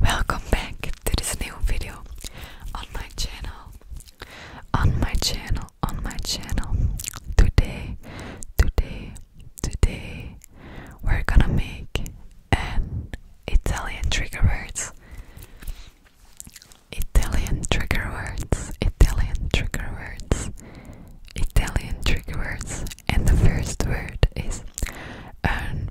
Welcome back to this new video on my channel. On my channel, on my channel. Today, today, today, we're gonna make an Italian trigger words. Italian trigger words, Italian trigger words, Italian trigger words, and the first word is un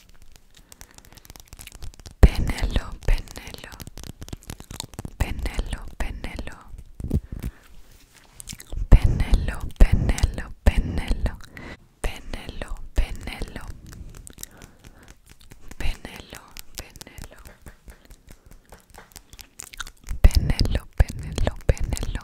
Penelo, Penelo, Penelo, Penelo, Penelo, Penelo, Penelo, Penelo, Penelo, Penelo, Penelo, Penelo, Penelo, Penelo.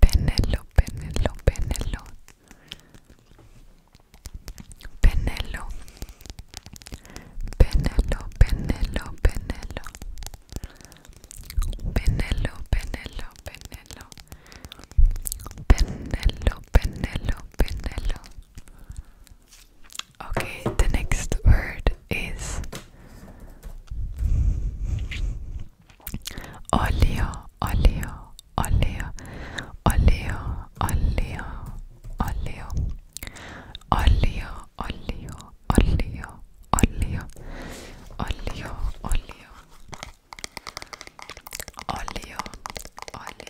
Penello, Penello, Penello. Penello. Penello, Penello, Penello. Penello, Penello, Penello. Penello, Penello, Penello. Okay, the next word is Olio, olio, olio, olio, olio, olio, olio, olio, olio, olio, olio, olio, olio, olio, olio,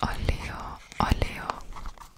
olio, olio, olio, olio,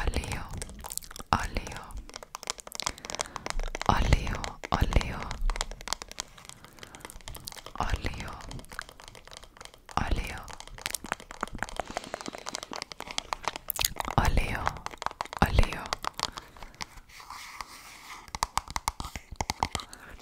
Olio, olio, olio, olio, olio, olio, olio, olio.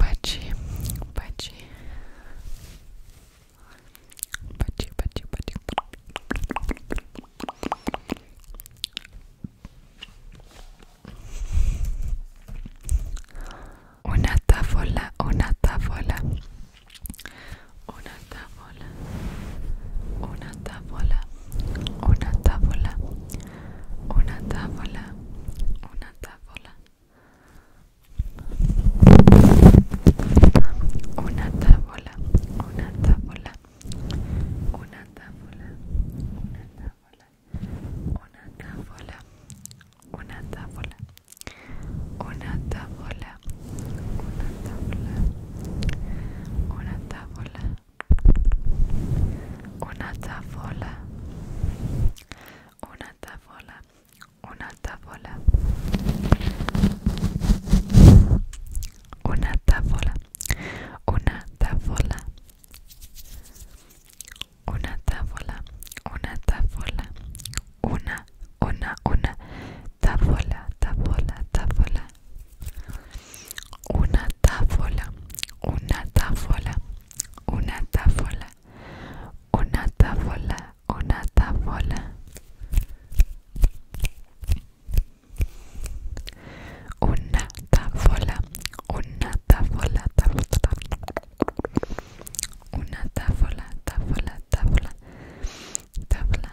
Pachi, Pachi. Pachi, Pachi, Pachi. Una tábola, una tábola. Una tabla, Una tabla, Una tábola. Una tábola una tavola una tavola una tavola una tavola una tavola una tavola una tavola una tavola una tavola una tavola una tabla una tabla una tabla una tabla una tabla una tabla una tabla una, una, una tabla tabla tabla una táfola, una táfola, una táfola, una táfola, una táfola, una táfola, una táfola, táfola, una táfola, táfola, tabla tabla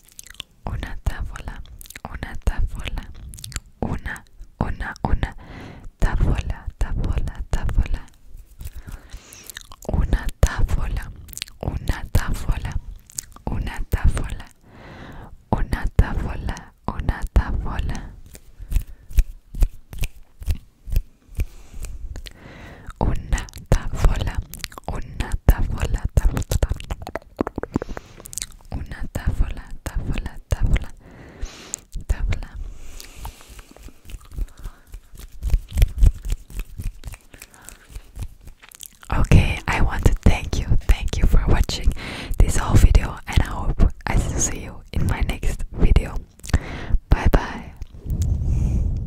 una tábola, una tábola, una, una, una tábola, tabola tábola, una tábola, una tábola, una tabla, una tábola, una tábola. una tavola, una tavola, tavola, una tavola, tavola, tavola, tavola. Okay, I want to thank you, thank you for watching this whole video, and I hope I will see you in my next video. Bye bye.